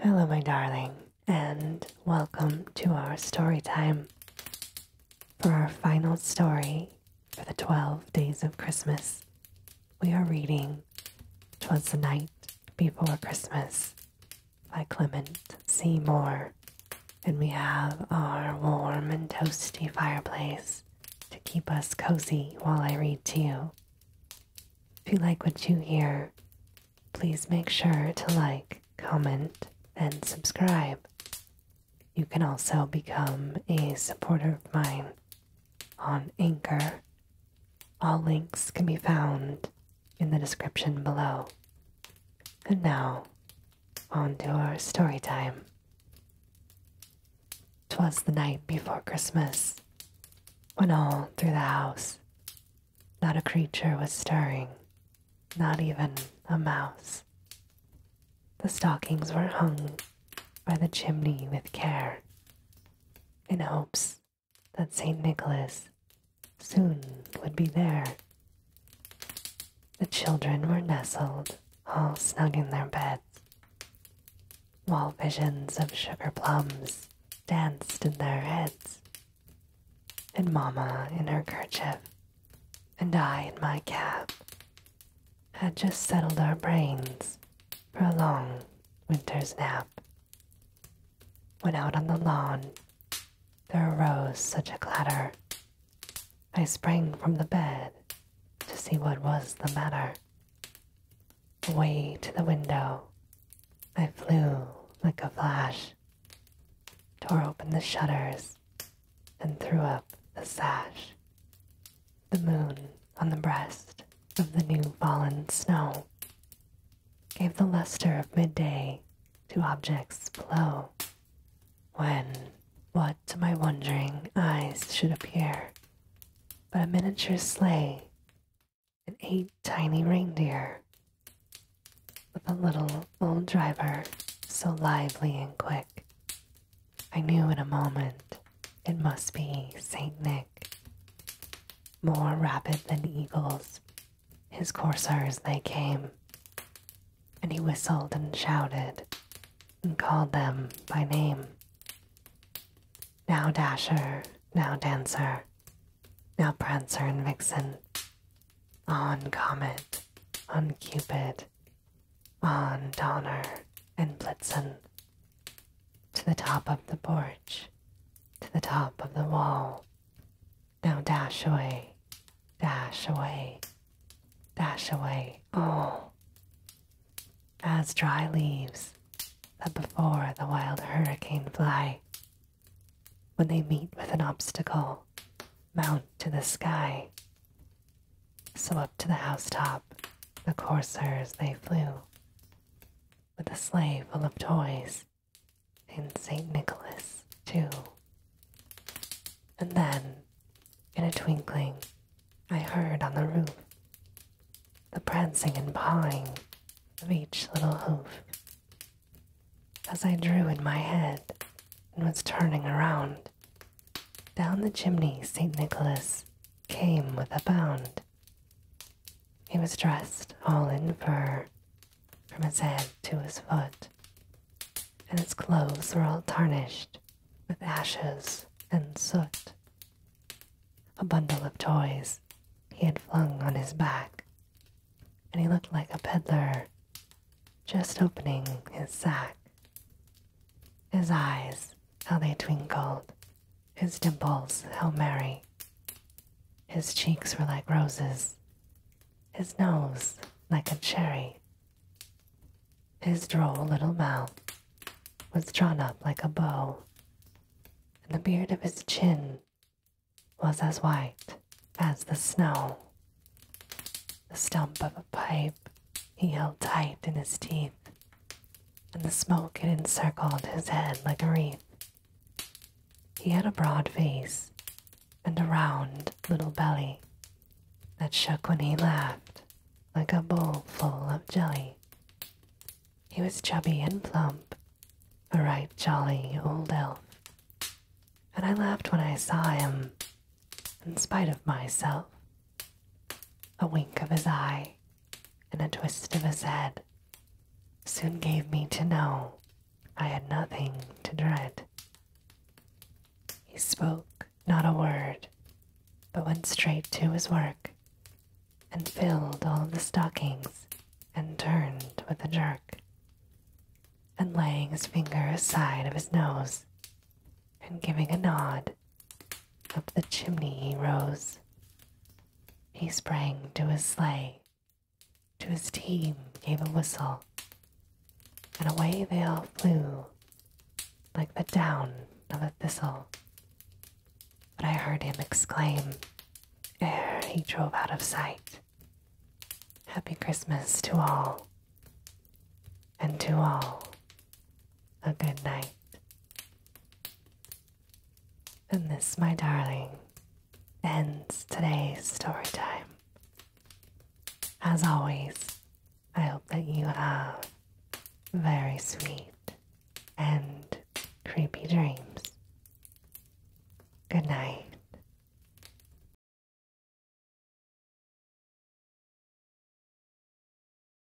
Hello, my darling, and welcome to our story time. For our final story for the 12 days of Christmas, we are reading Twas the Night Before Christmas by Clement C. Moore. And we have our warm and toasty fireplace to keep us cozy while I read to you. If you like what you hear, please make sure to like, comment, and subscribe. You can also become a supporter of mine on Anchor. All links can be found in the description below. And now, on to our story time. Twas the night before Christmas, when all through the house not a creature was stirring, not even a mouse. The stockings were hung by the chimney with care, in hopes that St. Nicholas soon would be there. The children were nestled all snug in their beds, while visions of sugar plums danced in their heads. And Mamma in her kerchief, and I in my cap, had just settled our brains for a long winter's nap. When out on the lawn there arose such a clatter, I sprang from the bed to see what was the matter. Away to the window, I flew like a flash, tore open the shutters, and threw up the sash. The moon on the breast of the new fallen snow gave the luster of midday to objects below when what to my wondering eyes should appear but a miniature sleigh and eight tiny reindeer with a little old driver so lively and quick. I knew in a moment it must be Saint Nick. More rapid than eagles, his coursers they came, and he whistled and shouted and called them by name. Now Dasher, now Dancer, now Prancer and Vixen, on Comet, on Cupid, on Donner and Blitzen, to the top of the porch, to the top of the wall, now dash away, dash away, dash away, oh, as dry leaves that before the wild hurricane fly. When they meet with an obstacle, mount to the sky. So up to the housetop the coursers they flew, with a sleigh full of toys in St. Nicholas, too. And then, in a twinkling, I heard on the roof the prancing and pawing of each little hoof. As I drew in my head and was turning around, down the chimney St. Nicholas came with a bound. He was dressed all in fur, from his head to his foot, and his clothes were all tarnished with ashes and soot. A bundle of toys he had flung on his back, and he looked like a peddler just opening his sack. His eyes, how they twinkled, his dimples, how merry. His cheeks were like roses his nose like a cherry. His droll little mouth was drawn up like a bow, and the beard of his chin was as white as the snow. The stump of a pipe he held tight in his teeth, and the smoke it encircled his head like a wreath. He had a broad face and a round little belly that shook when he laughed like a bowl full of jelly. He was chubby and plump, a right jolly old elf, and I laughed when I saw him, in spite of myself. A wink of his eye and a twist of his head soon gave me to know I had nothing to dread. He spoke not a word, but went straight to his work and filled all the stockings and turned with a jerk. And laying his finger aside of his nose and giving a nod, up the chimney he rose he sprang to his sleigh, to his team gave a whistle, and away they all flew like the down of a thistle. But I heard him exclaim, ere he drove out of sight, Happy Christmas to all, and to all a good night. And this, my darling, ends today's story time. As always, I hope that you have very sweet and creepy dreams. Good night.